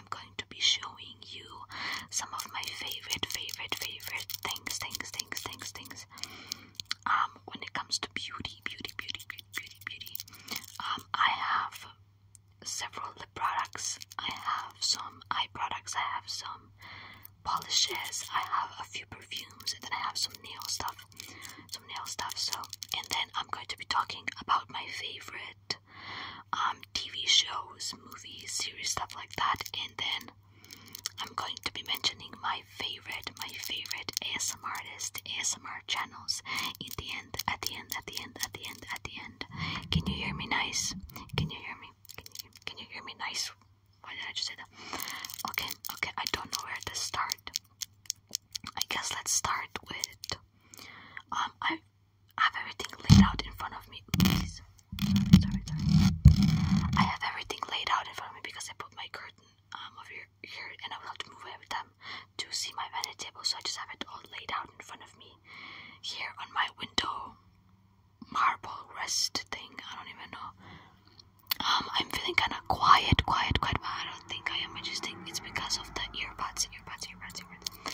I'm going to be showing you some of my favorite, favorite, favorite things, things, things, things, things. Um, when it comes to beauty, beauty, beauty, beauty, beauty, um, I have several lip products. I have some eye products. I have some polishes. I have a few perfumes, and then I have some nail stuff, some nail stuff. So, and then I'm going to be talking about my favorite um TV shows, movies, series, stuff like that. And then I'm going to be mentioning my favorite, my favorite ASMR artist, ASMR channels in the end, at the end, at the end, at the end, at the end. Can you hear me nice? Can you hear me? Can you, can you hear me nice? Why did I just say that? Okay, okay, I don't know where to start. I guess let's start with. Um, I I have everything laid out in front of me. I have everything laid out in front of me because I put my curtain um, over here, and I will have to move every time to see my vanity table. So I just have it all laid out in front of me here on my window marble rest thing. I don't even know. Um, I'm feeling kind of quiet, quiet, quiet, but I don't think I am. I just think it's because of the earbuds, earbuds, earbuds, earbuds.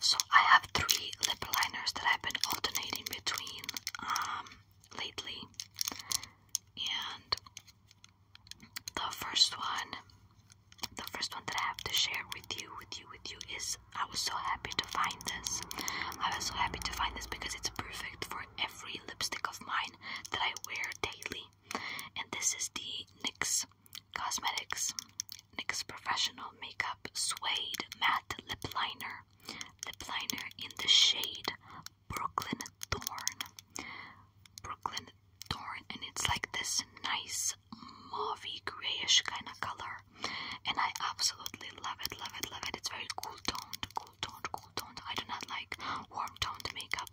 So I have three lip liners that I've been alternating between um, lately, and the first one, the first one that I have to share with you, with you, with you is I was so happy to find this. I was so happy to find this because it's perfect for every lipstick of mine that I wear daily and this is the NYX Cosmetics NYX Professional Makeup Suede Matte Lip Liner. Lip liner in the shade Brooklyn Thorn. Brooklyn Thorn, and it's like this nice mauvey grayish kind of color, and I absolutely love it, love it, love it. It's very cool toned, cool toned, cool toned. I do not like warm toned makeup,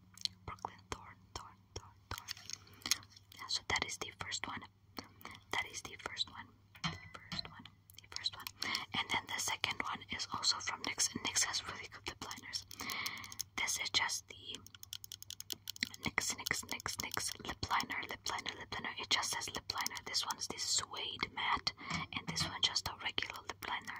Brooklyn Thorn, Thorn, Thorn, Thorn. Yeah, so that is the first one. That is the first one. The first one. The first one. And then the second one is also from NYX. And NYX has really good lip liners. This is just the NYX, NYX, NYX, NYX lip liner, lip liner, lip liner. It just says lip liner. This one's the suede matte. And this one just a regular lip liner,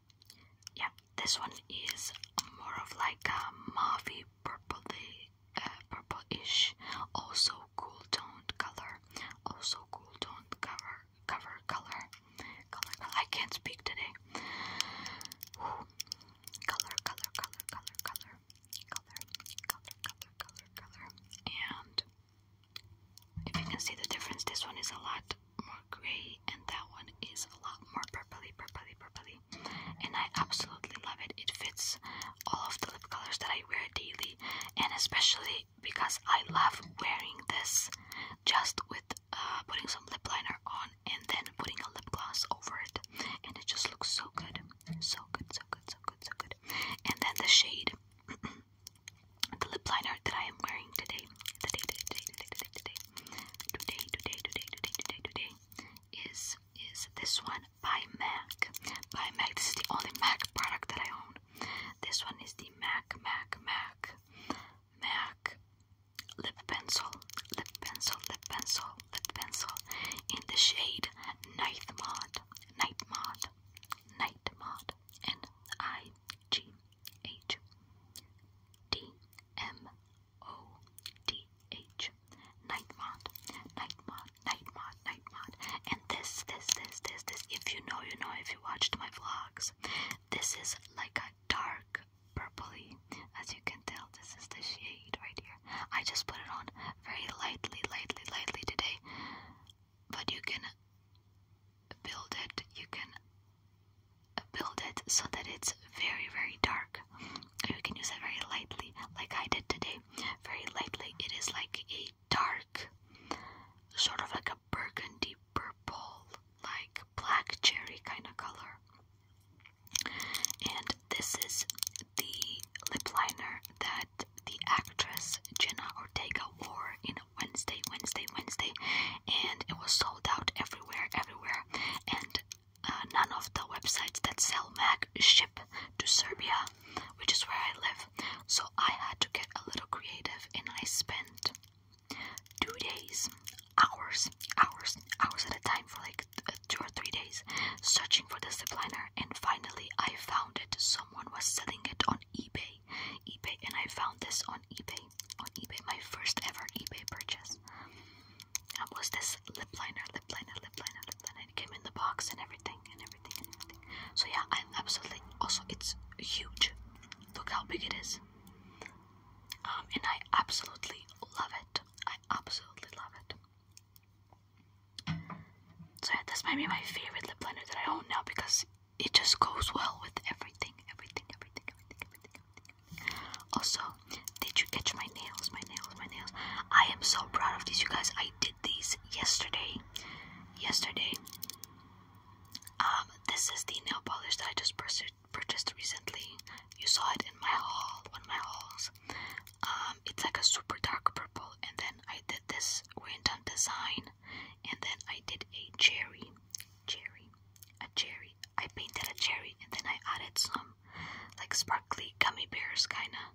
Yep, this one is more of like a mauvey purpley, uh, purple-ish, also cool toned color, also cool toned cover, cover color, color, color. I can't speak today. Ooh. Color, color, color, color, color, color, color, color, color, color, and if you can see the difference, this one is a lot more grey and that one is a lot more purpley, purpley, purpley. And I absolutely love it. It fits all of the lip colors that I wear daily and especially because I love wearing this just with uh, putting some lip liner on and then putting a lip gloss over it and it just looks so good. So good, so good, so good, so good. And then the shade the lip liner that I am wearing today today, today, today, today, today, today, today, today, today, today, today, is is this one by MAC. By MAC, this is the only MAC product that I own. This one is the MAC, MAC, MAC, MAC lip pencil, lip pencil, lip pencil, lip pencil in the shade Night Mod, Night Mod, Night Mod, N I G H D M O-D-H. Night mod. Night mod. Night mod. Night mod. And this, this, this, this, this. If you know, you know. If you watched my vlogs, this is like a dark purpley. As you can tell, this is the shade right here. I just put it on very lightly, lightly, lightly today. But you can build it. You can build it so that it's very very dark you can use it very lightly like i did today very lightly it is like a dark sort of like a burgundy purple like black cherry kind of color and this is the lip liner that the actress jenna ortega wore in wednesday wednesday wednesday and it was sold out everywhere, everywhere. And uh, none of the websites that sell Mac ship to Serbia, which is where I live. So I had to get a little creative, and I spent two days, hours, hours, hours at a time for like two or three days searching for this zip liner, and finally I found it. Someone was selling it on eBay, eBay, and I found this on eBay. On eBay, my first ever eBay purchase. That was this lip liner, lip liner, lip liner, lip liner. It came in the box and everything, and everything, and everything. So yeah, I'm absolutely. Also, it's huge. Look how big it is. Um, and I absolutely love it. I absolutely love it. So yeah, this might be my favorite lip liner that I own now because it just goes well with everything, everything, everything, everything, everything, everything. Also, did you catch my nails? My nails, my nails. I am so proud of these, you guys. I did these yesterday. Yesterday. Um, this is the nail polish that I just purchased recently. You saw it in my haul, one of my hauls. Um, it's like a super dark purple, and then I did this random design, and then I did a cherry, cherry, a cherry I painted a cherry and then I added some like sparkly gummy bears kinda.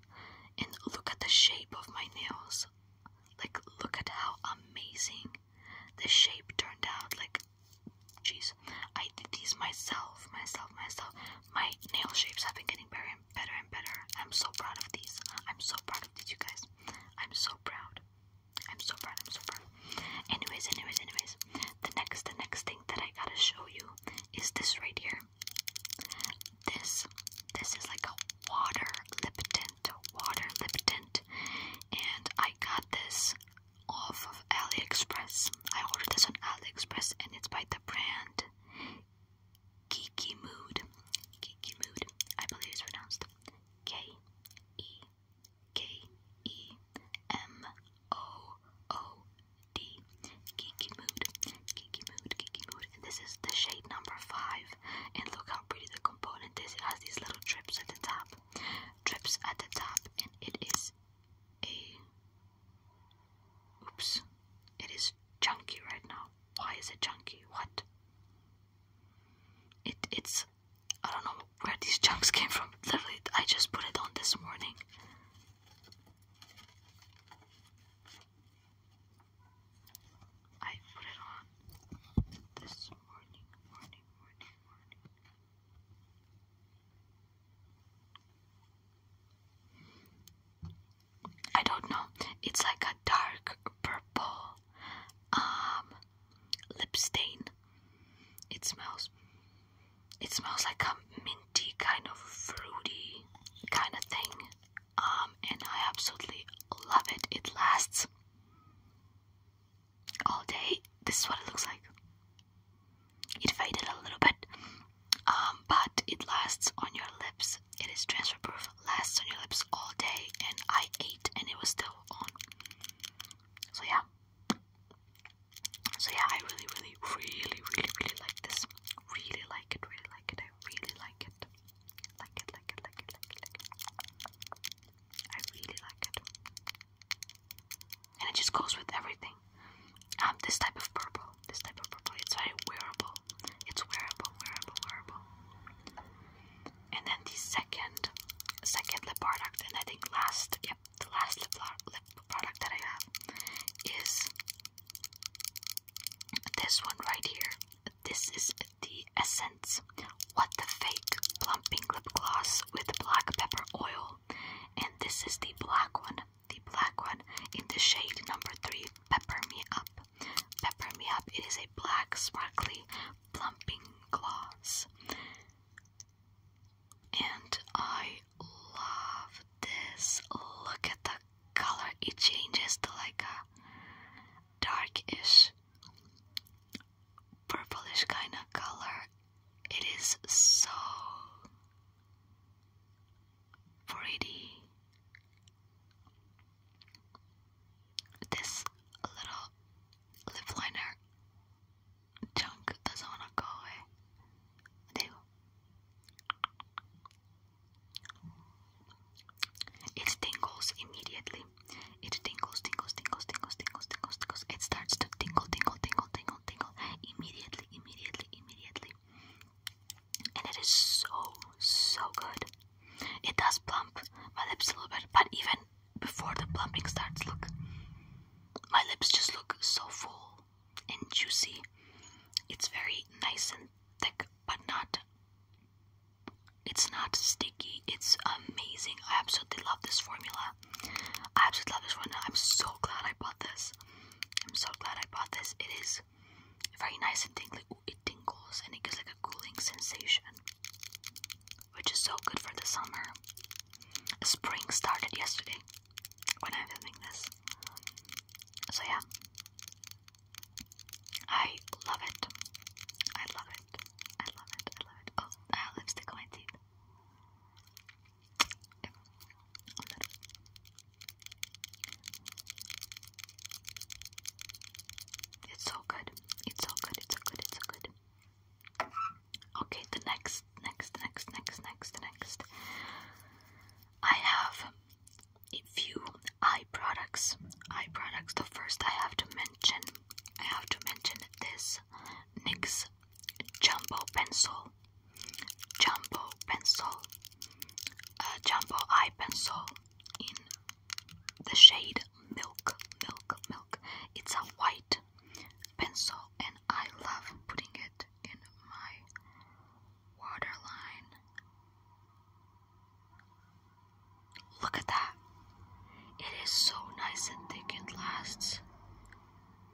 And look at the shape of my nails. Like look at how amazing the shape turned out. Like jeez, I did these myself, myself, myself. My nail shapes have been getting better and better and better. I'm so proud of these. I'm so proud of these you guys. I'm so proud. I'm so proud, I'm so proud. Anyways, anyways, anyways. The next the next thing that I gotta show you is this right here. This this is like a water lip tint. Water lip tint. And I got this off of AliExpress. I ordered this on AliExpress and it's by the brand Geeky Mood. Geeky Mood. I believe it's pronounced K E K E M O O D. Geeky Mood. Geeky Mood. Geeky Mood. this is the shade number five. And look how pretty the component is. It has these little drips at the top. Drips at the top. And it is a. Oops. It is chunky right now. Why is it chunky? What? It it's I don't know where these chunks came from. Literally, I just put it on this morning. I put it on this morning, morning, morning, morning. I don't know. It's like a dark purple, um, lip stain. It smells. It smells like a minty kind of fruity kind of thing, um, and I absolutely love it. It lasts all day. This is what it looks like. It faded a little bit, um, but it lasts on your lips. It is transfer proof, lasts on your lips all day, and I ate and it was still on. So yeah. So yeah, I really, really, really, really, really like this. Really like it, really like it. I really like it. Like it, like it, like it, like it, like it. I really like it. And it just goes with everything. Um, this type of purple, this type of purple, it's very wearable. It's wearable, wearable, wearable and then the second second lip product and I think last yep the last lip, lip product that I have is this one right here this is the essence what the fake plumping lip gloss with black pepper oil and this is the black one the black one in the shade number three pepper me up pepper me up it is a black sparkly plumping gloss and I love this. Look at the color, it changes to like a darkish, purplish kind of color. It is so pretty. This little lip liner chunk doesn't want to go away. It tingles immediately. It tingles, tingles, tingles, tingles, tingles, tingles, tingles. It starts to tingle, tingle, tingle, tingle, tingle immediately, immediately, immediately. And it is so, so good. It does plump my lips a little bit, but even before the plumping starts. Look, my lips just look so full and juicy. It's very nice and thick, but not. It's not sticky. It's amazing. I absolutely love this formula. I absolutely love this one. I'm so glad I bought this. I'm so glad I bought this. It is very nice and tingly. Ooh, it tingles and it gives like a cooling sensation which is so good for the summer. Spring started yesterday when I'm filming this. So, yeah, I love it. I love it. I love it. I love it. Oh, I have lipstick on my teeth. It's so good. It's so good. It's so good. It's so good. Okay, the next, next, next, next, next, next. I have a few eye products. Eye products. The first I have to mention, I have to mention this NYX Jumbo Pencil. Jumbo Pencil. a uh, jumbo Eye Pencil in the shade milk, milk, milk. It's a white pencil, and I love putting it in my waterline. Look at that. It is so nice and thick. and lasts.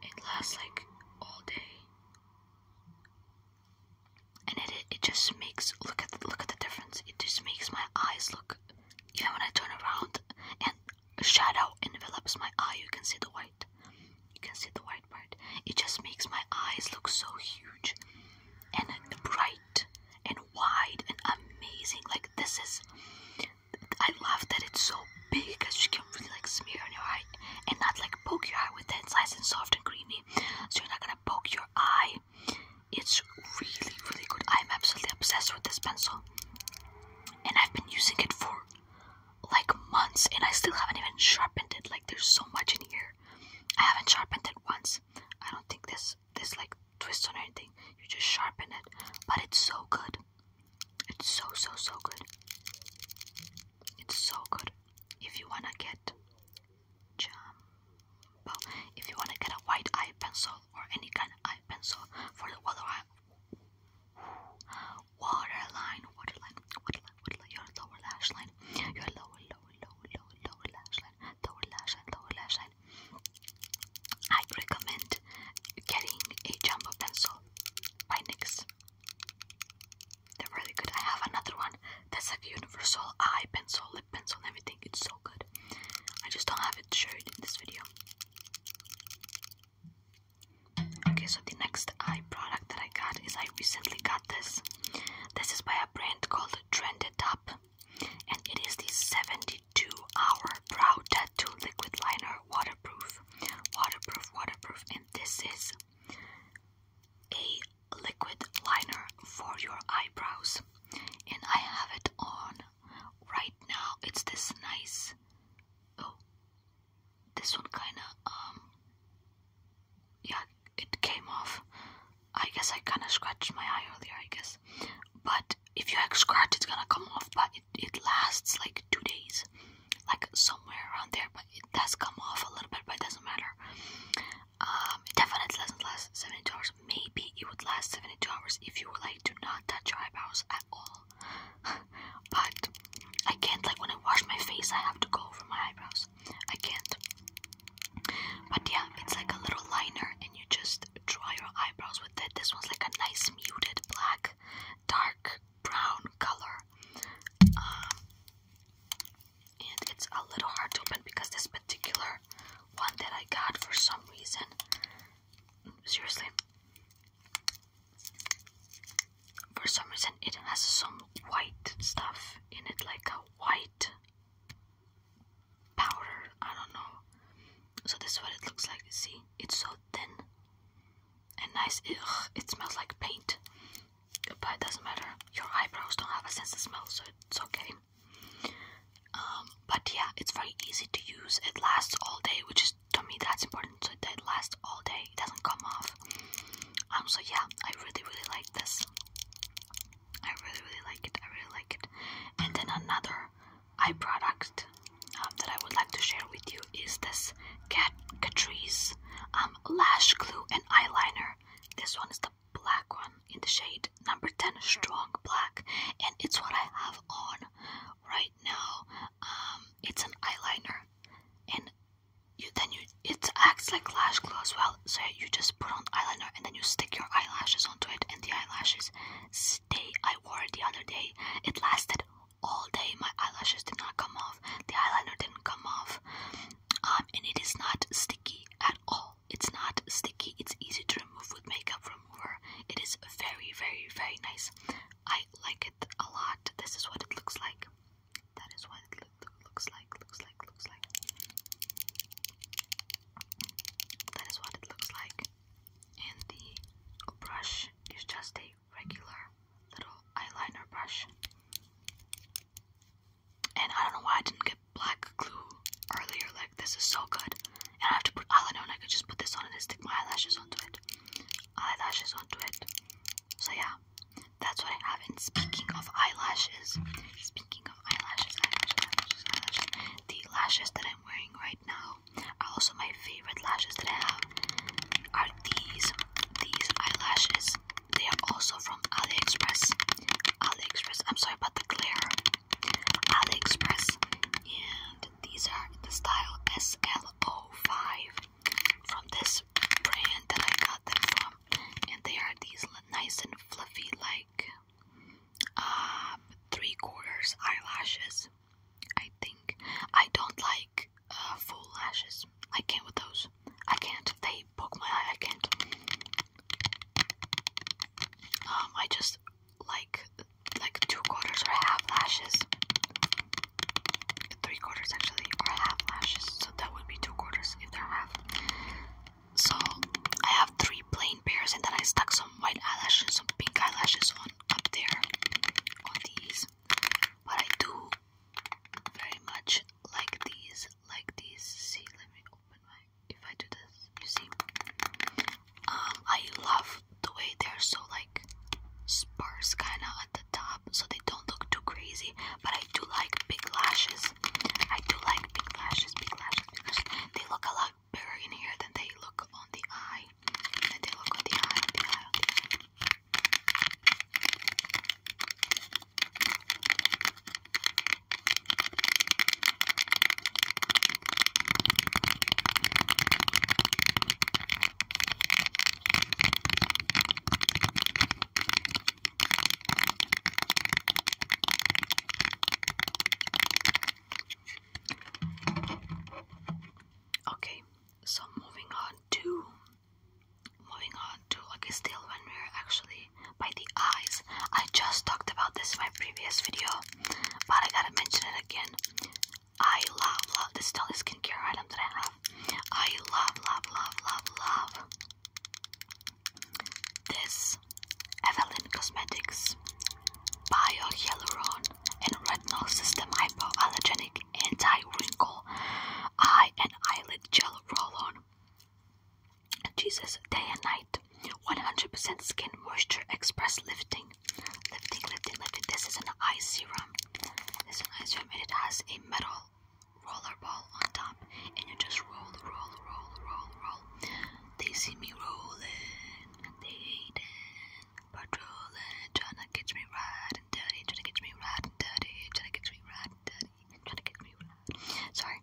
It lasts like all day. And it it just makes look at look at the difference. It just makes my eyes look even when I turn around and a shadow envelops my eye, you can see the white. You can see the white part. It just makes my eyes look so huge and bright and wide and amazing. Like this is, I love that it's so big because you can really like smear on your eye and not like poke your eye with it. It's nice and soft and creamy, so you're not gonna poke your eye it's really, really good. I'm absolutely obsessed with this pencil. And I've been using it for like months and I still haven't even sharpened it. Like there's so much in here. I haven't sharpened it once. I don't think this this like twist on anything. You just sharpen it. But it's so good. It's so so so good. It's so good. If you wanna get jumbo, if you wanna get a white eye pencil, or any kind of eye pencil for the waterline. Waterline, waterline, waterline, waterline, your lower lash line, your lower, lower, lower, lower, lower lash line, lower lash line, lower lash line. I recommend getting a jumbo pencil by NYX. They're really good. I have another one that's like a universal eye pencil, lip pencil, everything. It's so good. I just don't have it showed in this video. Okay, so the next eye product that I got is I recently got this. This is by a brand called Trended Up, and it is the 72 hour brow tattoo liquid liner waterproof. Waterproof, waterproof, and this is a liquid liner for your eyebrows. And I have it on right now it's this nice oh this one kinda um yeah it came off I guess I kinda scratched my eye earlier I guess but if you scratch it's gonna come off but it, it lasts like two days like somewhere around there but it does come off a little bit but it doesn't matter um it definitely doesn't last 72 hours maybe it would last 72 hours if you like do not touch your eyebrows at all. but I can't like when I wash my face I have to go over my eyebrows. I can't. But yeah, it's like a little liner and you just draw your eyebrows with it. This one's like a nice muted black, dark brown color. Um, and it's a little hard to open because this particular one that I got for some reason Seriously. For some reason, it has some white stuff in it, like a white powder. I don't know. So this is what it looks like. See, it's so thin and nice. Ugh, it smells like paint, but it doesn't matter. Your eyebrows don't have a sense of smell, so it's okay. Um, but yeah, it's very easy to use. It lasts all day, which is to me that's important. So that it lasts all day. It doesn't come off. Um, so yeah, I really really like this. I really really like it. I really like it. And then another eye product um, that I would like to share with you is this Cat Catrice lash glue and eyeliner. This one is the black one in the shade number 10 strong black and it's what I have on right now um it's an eyeliner and you then you it acts like lash glue as well so you just put on eyeliner and then you stick your eyelashes onto it and the eyelashes stay I wore it the other day it lasted all day my eyelashes did not come off the eyeliner didn't come off um, and it is not sticky at all it's not sticky. It's easy to remove with makeup remover. It is very, very, very nice. I like it a lot. This is what it looks like. That is what it looks like. Looks like. Looks like. That is what it looks like. And the brush is just a regular little eyeliner brush. And I don't know why I didn't get black glue earlier. Like, this is so good. And I have to put eyeliner on. I could just put this on and stick my eyelashes onto it. Eyelashes onto it. So, yeah. That's what I have. And speaking of eyelashes, speaking of eyelashes, eyelashes, eyelashes, the lashes that I'm wearing right now are also my favorite lashes that I have. Are these these eyelashes? They are also from AliExpress. AliExpress. I'm sorry about the glare. AliExpress, and these are the style SLO5 from this brand that I got them from, and they are these nice and fluffy, like uh, three quarters eyelashes. I think I don't like uh, full lashes. I can't with those. I can't. They poke my eye. I can't. Um, I just like like two quarters or half lashes. Three quarters actually or half lashes. So that would be two quarters if they're half. So I have three plain pairs and then I stuck some white eyelashes, some pink eyelashes on up there on these. But I do very much like these, like these. See, let me open my if I do this, you see. Um, I love the way they're so like sparse kinda at the top so they don't look too crazy. But I do like big lashes. I do like big lashes, big lashes, big They look a lot bigger in here than they look on the eye. Than they look on the eye, the eye, on the eye. Okay, so moving on to moving on to like a still when we're actually by the eyes. I just talked about this in my previous video, but I gotta mention it again. I love, love this is the only skincare item that I have. I love, love, love, love, love this Evelyn Cosmetics Bio Hyaluron and Retinol System Hypoallergenic Anti Wrinkle Eye and Eyelid Gel Roll On. Jesus day and night. 100% skin moisture express lifting. Lifting, lifting, lifting. This is an eye serum. This is an eye serum and it has a metal roller ball on top. And you just roll, roll, roll, roll, roll. They see me rolling. They hate hating. Patrolling. Trying to catch me right and dirty. Trying to catch me right and dirty. Trying to catch me right and dirty. Trying catch me right. Sorry.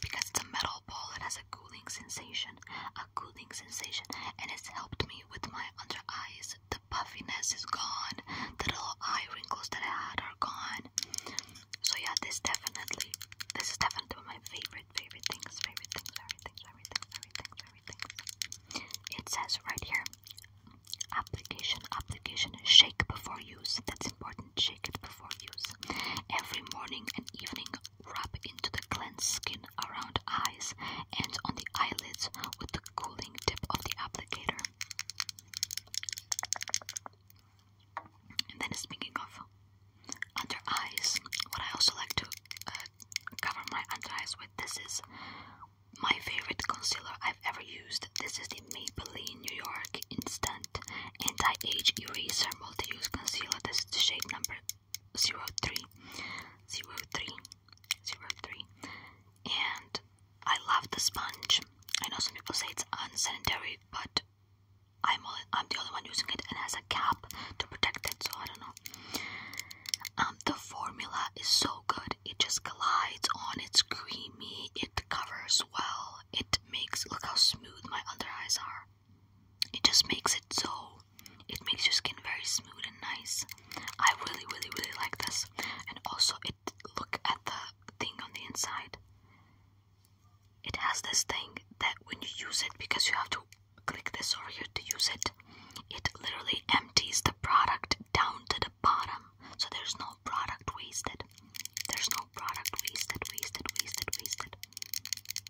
because it's a metal ball, it has a cooling sensation, a cooling sensation, and it's helped me with my under eyes. The puffiness is gone, the little eye wrinkles that I had are gone. So yeah, this definitely, this is definitely one of my favorite, favorite things, favorite things, favorite things, favorite things, It says right here, application, application, shake before use. That's important, shake it before use. Every morning and evening, rub into the cleansed skin around the eyes and on the eyelids with the cooling tip of the applicator. And then, speaking of under eyes, what I also like to uh, cover my under eyes with this is my favorite concealer I've ever used. This is the Maybelline New York Instant anti-age eraser multi-use concealer. This is the shade number 03, 03, 03. And I love the sponge. I know some people say it's unsanitary, but I'm I'm the only one using it, and it has a cap to protect it. So I don't know. Um, the formula is so good. It just glides on. It's creamy. It covers well. It makes look how smooth my under eyes are it just makes it so it makes your skin very smooth and nice. I really really really like this and also it look at the thing on the inside. It has this thing that when you use it because you have to click this over here to use it, it literally empties the product down to the bottom. So there's no product wasted. There's no product wasted, wasted, wasted, wasted.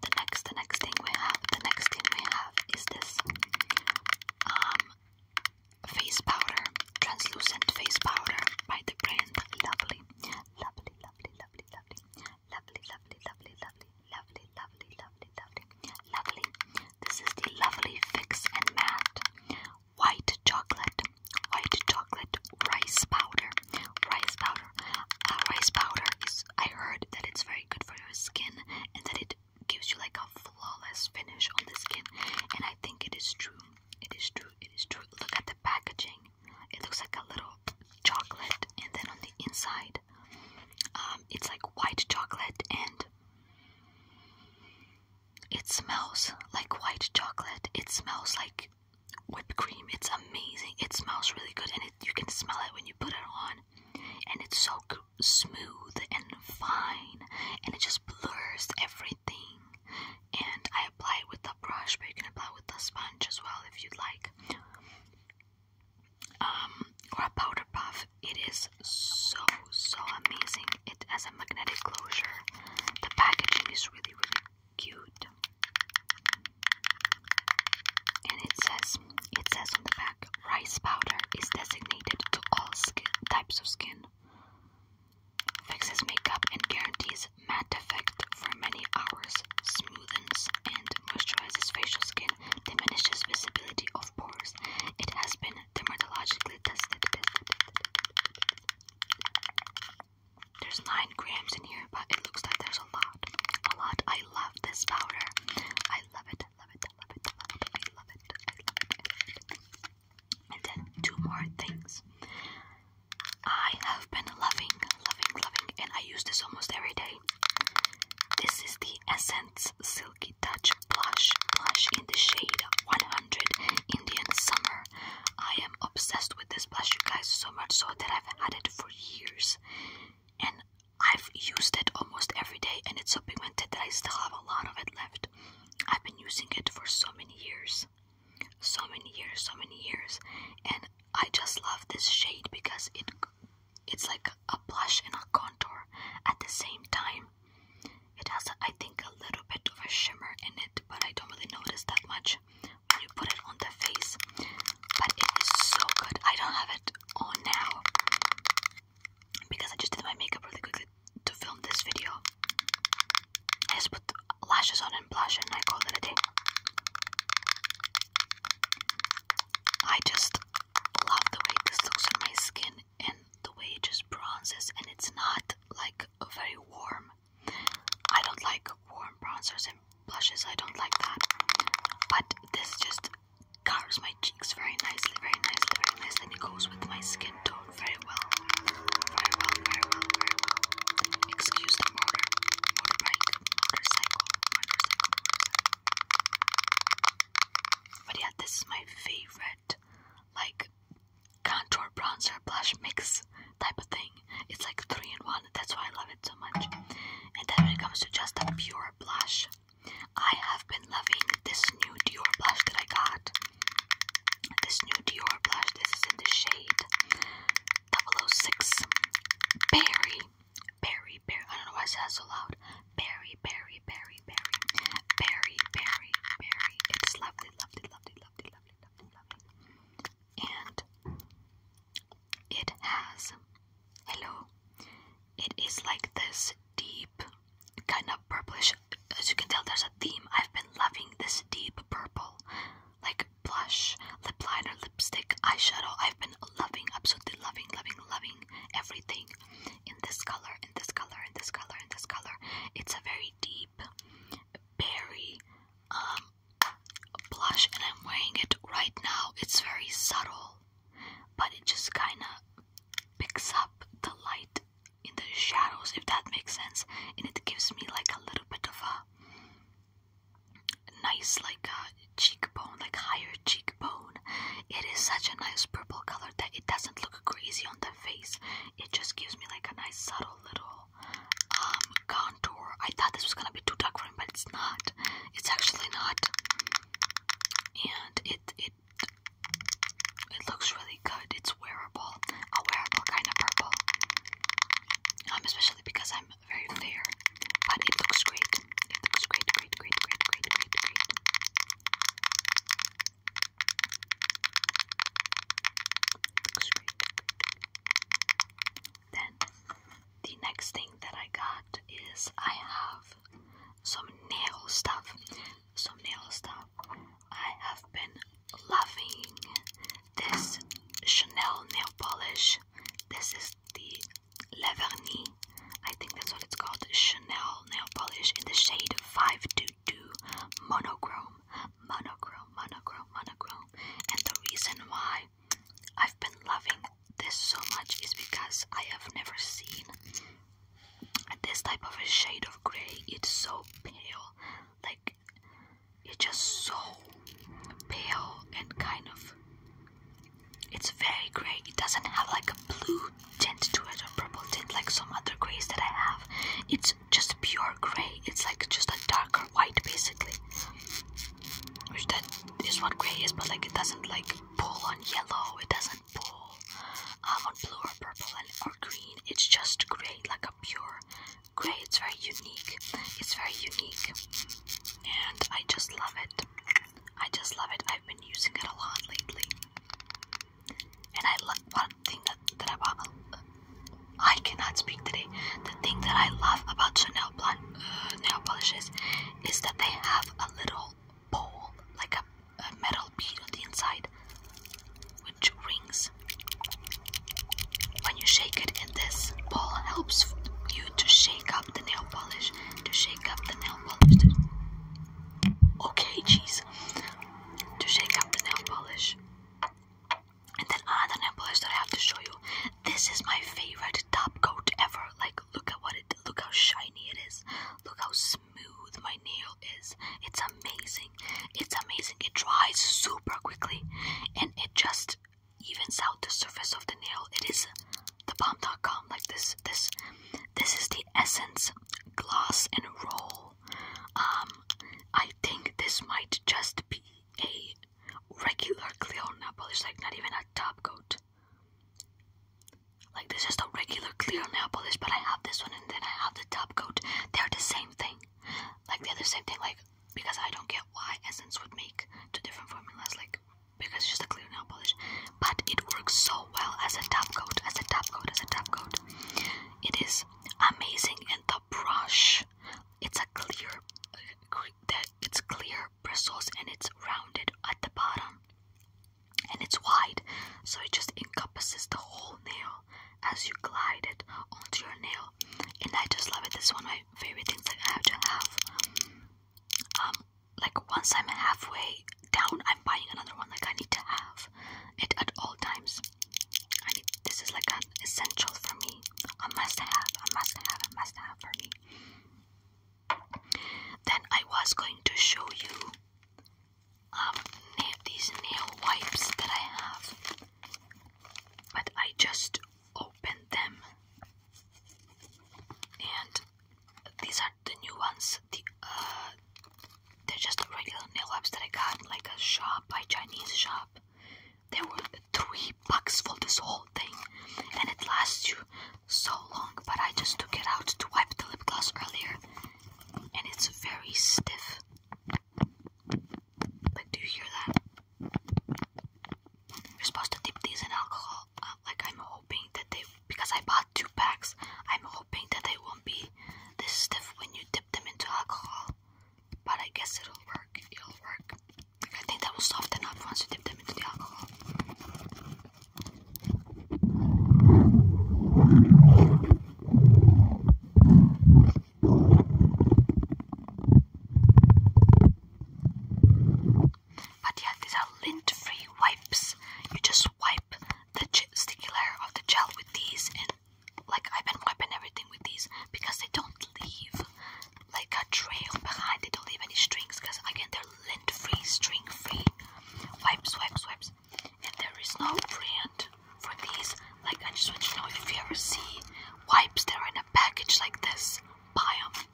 The next, the next thing we have, the next thing we have is this um, face powder, translucent face powder by the brand Lovely, Lovely, Lovely, Lovely, Lovely, Lovely, Lovely, Lovely, Lovely, Lovely, Lovely, Lovely, Lovely, Lovely. This is the Lovely Fix and Matte White Chocolate, White Chocolate Rice Powder. Rice powder. Uh, rice powder is. I heard that it's very good for your skin and that it gives you like a flawless finish on the skin. And I think it is true. It is true. It is true. Look at the packaging. It looks like a little chocolate, and then on the inside, um, it's like white chocolate, and it smells like white chocolate. It smells like whipped cream. It's amazing. It smells really good, and you can smell it when you put it on. And it's so smooth and fine, and it just blurs everything. And I apply it with a brush, but you can apply it with a sponge as well if you'd like. Um, or a powder puff. It is so so amazing. It has a magnetic closure. The packaging is really really cute. And it says it says on the back rice powder is designated to all skin, types of skin. Fixes makeup and guarantees matte effect for many hours, smoothens and moisturizes facial skin, diminishes visibility of pores. It has been dermatologically tested. There's 9 grams in here, but it looks like there's a lot. A lot. I love this powder. I love it. Love it. Love it. Love it. I love it. I love it. And then two more things. I have been loving, loving, loving, and I use this almost every day. This is the Essence Silky Touch Blush. Blush in the shade 100 Indian Summer. I am obsessed with this blush, you guys, so much so that I've had it for years and I've used it almost every day and it's so pigmented that I still have a lot of it left. I've been using it for so many years. So many years, so many years. And I just love this shade because it it's like a blush and a contour at the same time. It has, I think, a little bit of a shimmer in it, but I don't really notice that much when you put it on the face. But it is so good. I don't have it on now because I just did my makeup really quickly to film this video. I just put lashes on and blush and I called it a day. I just love the way this looks on my skin and the way it just bronzes and it's not like very warm. I don't like warm bronzers blushes. I don't like that. But this just covers my cheeks very nicely, very nicely, very nicely, and it goes with my skin tone very well. Very well, very well, very well. Excuse the motor, motorbike, motorcycle, motorcycle. But yeah, this is my favorite, like, contour bronzer blush mix type of thing thing. It's like three in one. That's why I love it so much. And then when it comes to just a pure blush, I have been loving this new Dior blush that I got. This new Dior blush. This is in the shade 006 Berry. Berry, berry. I don't know why I said that so loud. Berry, berry, berry, berry. Berry, berry, berry. It's lovely, lovely, lovely, lovely, lovely, lovely, lovely. And it has, hello, it is like this deep, kind of purplish. As you can tell, there's a theme. I've been loving this deep purple, like blush, lip liner, lipstick, eyeshadow. I've been loving, absolutely loving, loving, loving everything in this color, in this color, in this color, in this color. It's a very deep, berry, um, blush and I'm wearing it right now. It's very subtle, but it just kind of picks up the light in the shadows, if that makes sense. And it gives me like a little bit of a nice, like a uh, cheekbone, like higher cheekbone. It is such a nice purple color that it doesn't look crazy on the face. It just gives me like a nice subtle little um, contour. I thought this was gonna be too dark for me, but it's not. It's actually not, and it it it looks really good. It's wearable, a wearable kind of purple, um, especially because I'm very fair. But it looks great. It looks great, great, great, great, great, great, great. It looks great. Then the next thing that I got is I have some nail stuff. Some nail stuff. I have been loving this Chanel nail polish. This is the Laverny. I think that's what it's called. Chanel nail polish in the shade 522 monochrome. Monochrome, monochrome, monochrome. And the reason why I've been loving this so much is because I have never seen this type of a shade of grey. It's so pale, like it's just so pale and kind of it's very grey. It doesn't have like a blue tint to it or purple tint like some other greys that I have. It's just pure grey. It's like just a darker white basically which that is what gray is but like it doesn't like pull on yellow it doesn't pull um, on blue or purple and or green it's just gray like a pure gray it's very unique it's very unique and i just love it i just love it i've been using it a lot lately and i love one thing that, that i bought. I cannot speak today. The thing that I love about Chanel blonde, uh, nail polishes is that they have a little ball, like a, metal bead on the inside, which rings. When you shake it in this ball helps you to shake up the nail polish, to shake up the nail polish. okay, jeez, to shake up the nail polish. And then other nibblers that I have to show you. This is my favorite top coat ever. Like, look at what it, look how shiny it is. Look how smooth my nail is. It's amazing. It's amazing. It dries super quickly. And it just evens out the surface of the nail. It is the bomb.com. Like this, this, this is the Essence Gloss and Roll. Um, I think this might just be a regular clear nail polish, like not even a top coat. Like this is the regular clear nail polish, but I have this one and then I have the top coat. They're the same thing. Like they're the same thing, like because I don't get why Essence would make two different formulas, like because it's just a clear nail polish. But it works so well as a top coat, as a top coat, as a top coat. It is amazing and brush. It's a clear it's clear bristles and it's rounded at the bottom and it's wide so it just encompasses the whole nail as you glide it onto your nail and I just love it this one of my favorite things that I have to have um like once I'm halfway down I'm buying another one like I need to have it at all times I need, this is like a essential for me, a must have, a must have, a must have for me. Then I was going to show you um, these nail wipes that I have, but I just opened them, and these are the new ones. The uh, they're just regular nail wipes that I got like a shop, a Chinese shop. There were three bucks for this whole thing, and it lasts you so long. But I just took it out to wipe the lip gloss earlier, and it's very stiff. But do you hear that? You're supposed to dip these in alcohol. Uh, like I'm hoping that they, because I bought two packs, I'm hoping that they won't be this stiff when you dip them into alcohol. But I guess it'll work. It'll work. I think that will soften up once you dip them into the alcohol. But yeah, these are lint-free wipes. You just wipe the sticky layer of the gel with these, and like I've been wiping everything with these because they don't leave like a trail behind. They don't leave any strings because again they're lint free, string free. Wipe, swipe, swipes. And there is no brand for these. Like I just want you to know if you ever see wipes that are in a package like this, buy them.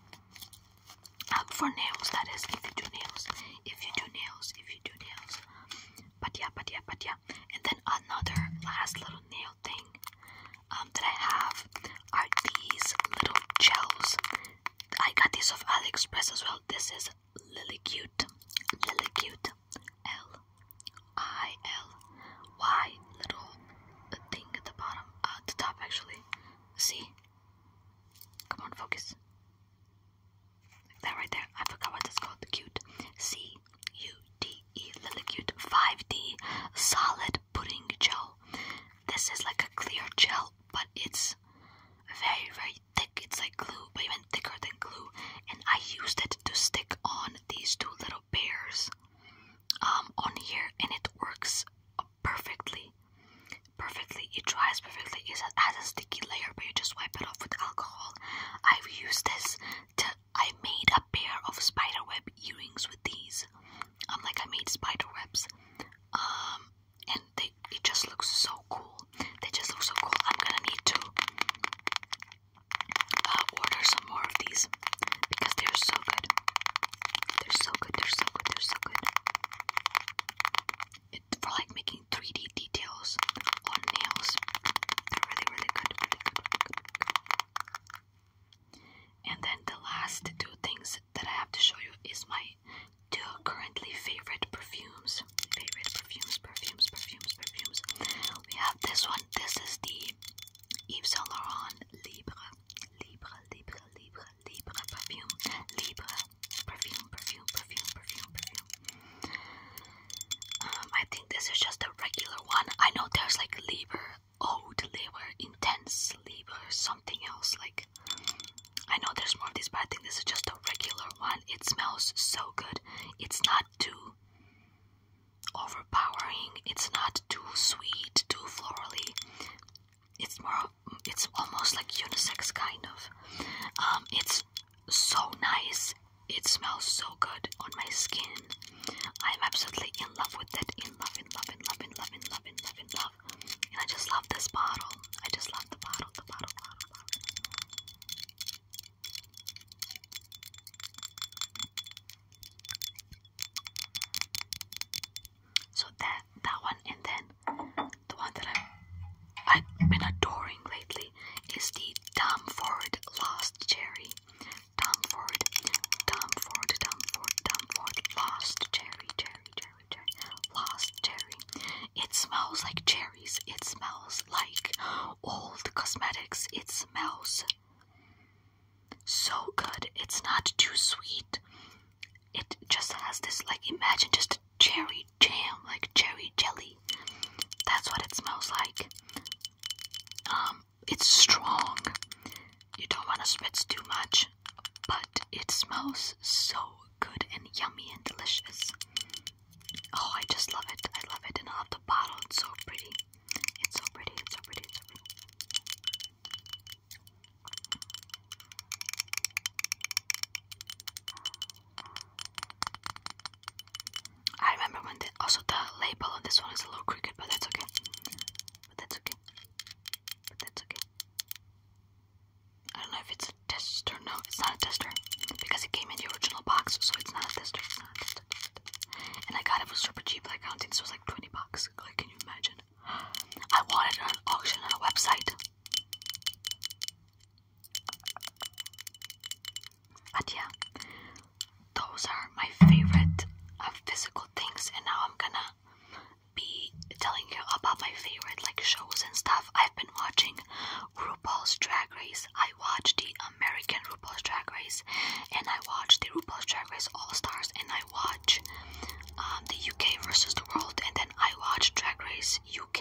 Uh, um, for nails, that is, if you do nails, if you do nails, if you do nails. But yeah, but yeah, but yeah. And then another last little nail thing um, that I have are these little gels. I got these off AliExpress as well. This is Lily Cute, Lily Cute, L I L Y little thing at the bottom, uh, the top actually. See? Come on, focus. that right there. I forgot what that's called. Cute. C U-D-E Lilicute 5D Solid Pudding Gel. This is like a clear gel, but it's very, very thick. It's like glue, but even thicker than glue. And I used it to stick on these two little bears um, on here, and it works perfectly. Perfectly, it dries perfectly. It has a sticky layer, but you just wipe it off with alcohol. I've used this to I made a pair of spiderweb earrings with these. I'm um, like I made spiderwebs. Um, and they it just looks so cool. They just look so cool. I'm gonna need to uh, order some more of these because they're so good. They're so good. They're so good. They're so good. It, for like making 3D details on nails. They're really, really good. And then the last two things that I have to show you is my two currently favorite perfumes. Favorite perfumes, perfumes, perfumes, perfumes. We have this one. This is the Yves Saint Laurent Libre, Libre, Libre, Libre, Libre perfume. Libre perfume, perfume, perfume, perfume, perfume. Um, I think this is just a regular one. I know there's like Libre, Oh, the labor, intense labor, something else. Like, I know there's more of these, but I think this is just a regular one. It smells so good. It's not too overpowering. It's not too sweet, too florally. It's more, it's almost like unisex kind of. Um, it's so nice. It smells so good on my skin. I'm absolutely in love with it. In love, in love, in love, in love, in love, in love, in love. And I just love this bottle. I just love the bottle, the bottle, bottle, bottle. So that that one and then the one that I've I've been adoring lately is the Dumb Forward Lost Cherry. Tom Ford, Tom Ford, Tom cherry, cherry, cherry, cherry, lost cherry. It smells like cherries. It smells like old cosmetics. It smells so good. It's not too sweet. It just has this, like, imagine just cherry jam, like cherry jelly. That's what it smells like. Um, it's strong. You don't want to spit too much, but it smells so good and yummy and delicious. Oh, I just love it. I love it. And I love the bottle. It's so pretty. It's so pretty. It's so pretty. so pretty. I remember when the, also the label on this one is a little crooked, but that's okay. But that's okay. But that's okay. I don't know if it's a tester. No, it's not a tester because it came in the original box, so it's not a tester. It's not a tester. And I got it for super cheap. Like I don't think this was like twenty bucks. Like, can you imagine? I wanted it on auction on a website. But yeah, those are my favorite uh, physical things, and now I'm gonna be telling you about my favorite like shows and stuff. I've been watching RuPaul's Drag Race. I watch the American RuPaul's Drag Race, and I watch the RuPaul's Drag Race All Stars, and I watch um, the UK versus the World, and then I watch Drag Race UK.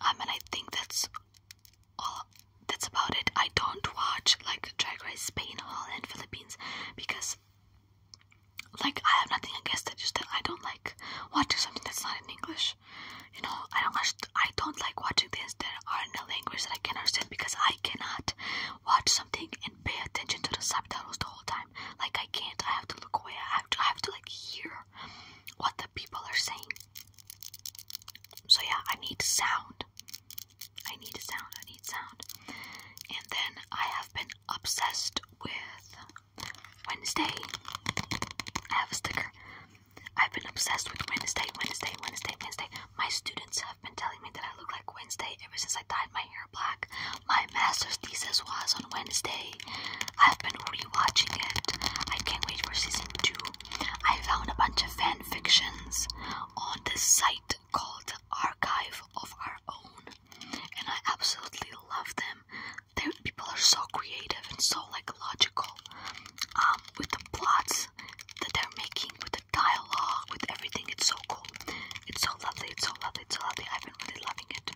I um, mean, I think that's all oh, that's about it. I don't watch like Drag Race Spain, Holland, Philippines because like I have nothing against it. Just that I don't like watching something that's not in English. You know, I don't watch. I don't like watching things that are in a language that I can not understand because I cannot watch something and pay attention to the subtitles the whole time. Like I can't. I have to look away. I have to. I have to like hear what the people are saying. So yeah, I need sound. I need sound. I need sound. And then I have been obsessed with Wednesday. I have a sticker. I've been obsessed with Wednesday, Wednesday, Wednesday, Wednesday. My students have been telling me that I look like Wednesday ever since I dyed my hair black. My master's thesis was on Wednesday. I've been rewatching it. I can't wait for season two. I found a bunch of fan fictions on this site called Archive of Our Own, and I absolutely love them. they people are so creative and so like logical um, with the plots that they're making, with the dialogue, with everything. It's so cool. It's so lovely. It's so lovely. It's so lovely. I've been really loving it.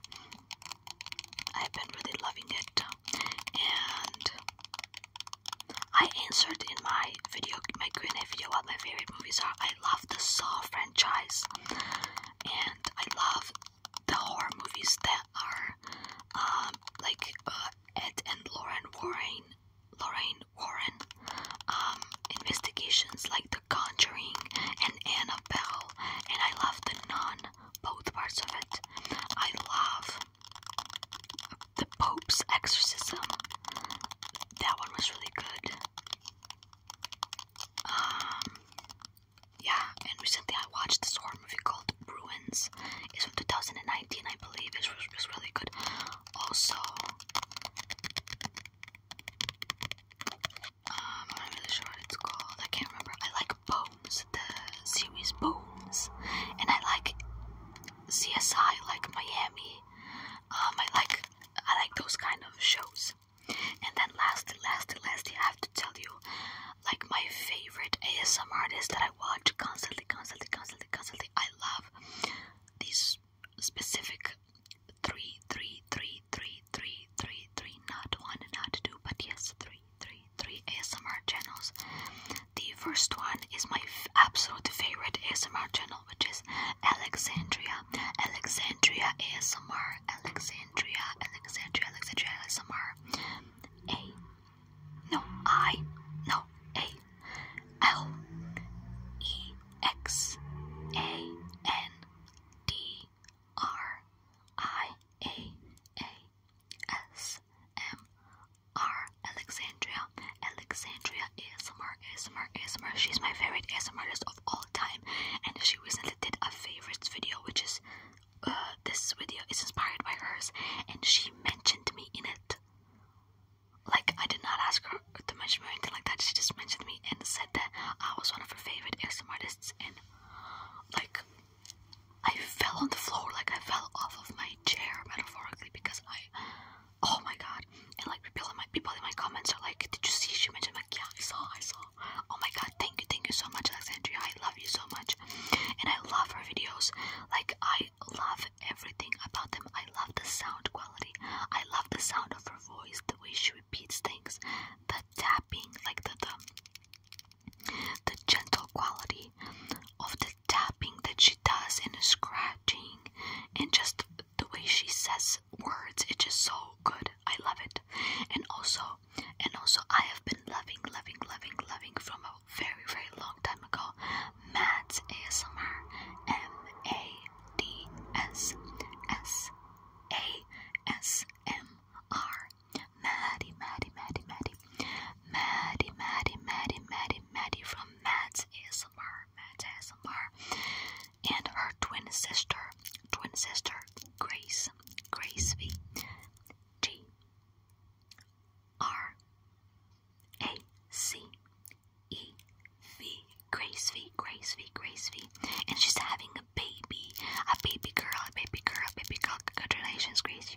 I've been really loving it, and I answered in my video, my Q&A video, what my favorite movies are. I love the Saw franchise, and I love the horror movies that are um, like uh, Ed and Lauren Warren, Lorraine Warren, um, investigations like The Conjuring and Annabelle, and I love The non both parts of it. I love the Pope's Exorcism. That one was really good. Um, yeah, and recently I watched this horror movie called Ruins. It's from 2019, I believe. It was, it was really good. Also, um, I'm not really sure what it's called. I can't remember. I like Bones, the series Bones, and I like CSI, like Miami. Um, I like I like those kind of shows. And then last, last, last, I have to tell you, like my favorite ASM artist that I watch constantly, constantly, constantly, constantly. I love these specific three, three, three, three, three, three, three, not one, not two, but yes, three three three ASMR channels. The first one is my absolute favorite ASMR channel, which is Alexandria, Alexandria ASMR, Alexandria, Alexandria, Alexandria ASMR. A, no I, no A, L, E, X, A, N, D, R, I, A, A, S, M, are Alexandria. Alexandria ASMR, ASMR, ASMR. She's my favorite ASMRist of all time, and she recently did a favorites video, which is uh, this video is inspired by hers, and she mentioned me in it. Like I did not ask her to mention me or anything like that. She just mentioned me and said that I was one of her favorite ASMRists, and like I fell on the floor, like I fell off of my chair, metaphorically, because I, oh my god, and like people in my people in my comments are like, did you see? She mentioned like, yeah, I saw, I saw. Oh my god, thank you, thank you so much, Alexandria. I love you so much, and I love her videos. Like I love everything about them. I love the sound quality. I love the sound of her voice, the way she repeats things, the tapping, like the the the gentle quality of the tapping that she does and the scratching and just the way she says words, it's just so good. I love it. And also and also I have been loving, loving, loving, loving from a very, very long time ago. Mads ASMR M A D S S A S M R Maddie, Maddie, Maddie, Maddie, Maddie, Maddie, Maddie, Maddie, Maddie from Matt's ASMR, Matt's ASMR, and her twin sister, twin sister Grace, Grace V, G, R, A, C, E, V, Grace V, Grace V, Grace V, and she's having a baby, a baby girl, a baby girl, a baby girl. Congratulations, Grace!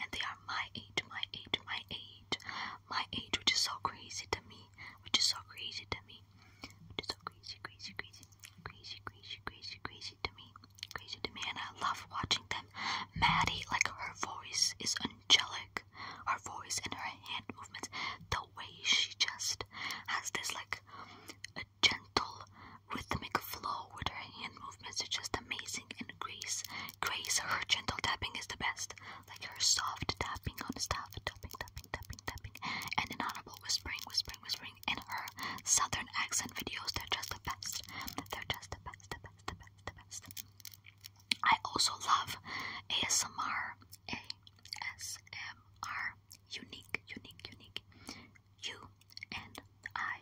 and they are my age, my age, my age, my age, which is so crazy to me, which is so crazy to me, which is so crazy, crazy, crazy, crazy, crazy, crazy, crazy to me, crazy to me, and I love watching them. Maddie, like her voice is angelic, her voice and her hand movements, the way she just has this like a gentle rhythmic flow with her movements are just amazing, and Grace, Grace, her gentle tapping is the best. Like her soft tapping on stuff, tapping, tapping, tapping, tapping, and inaudible whispering, whispering, whispering, and her southern accent videos, they're just the best. They're just the best, the best, the best, the best. I also love ASMR, ASMR, unique, unique, unique, U N I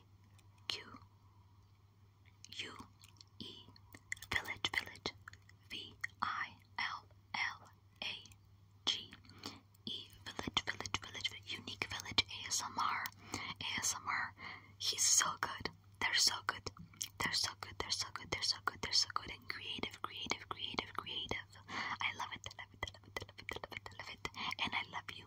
Q U E Village Village V I L L A G E Village Village Village Unique Village ASMR ASMR He's so good. They're so good. They're so good. They're so good. They're so good. They're so good and creative, creative, creative, creative. I love it. I love it. I love it. I love it. I love it. I love it. And I love you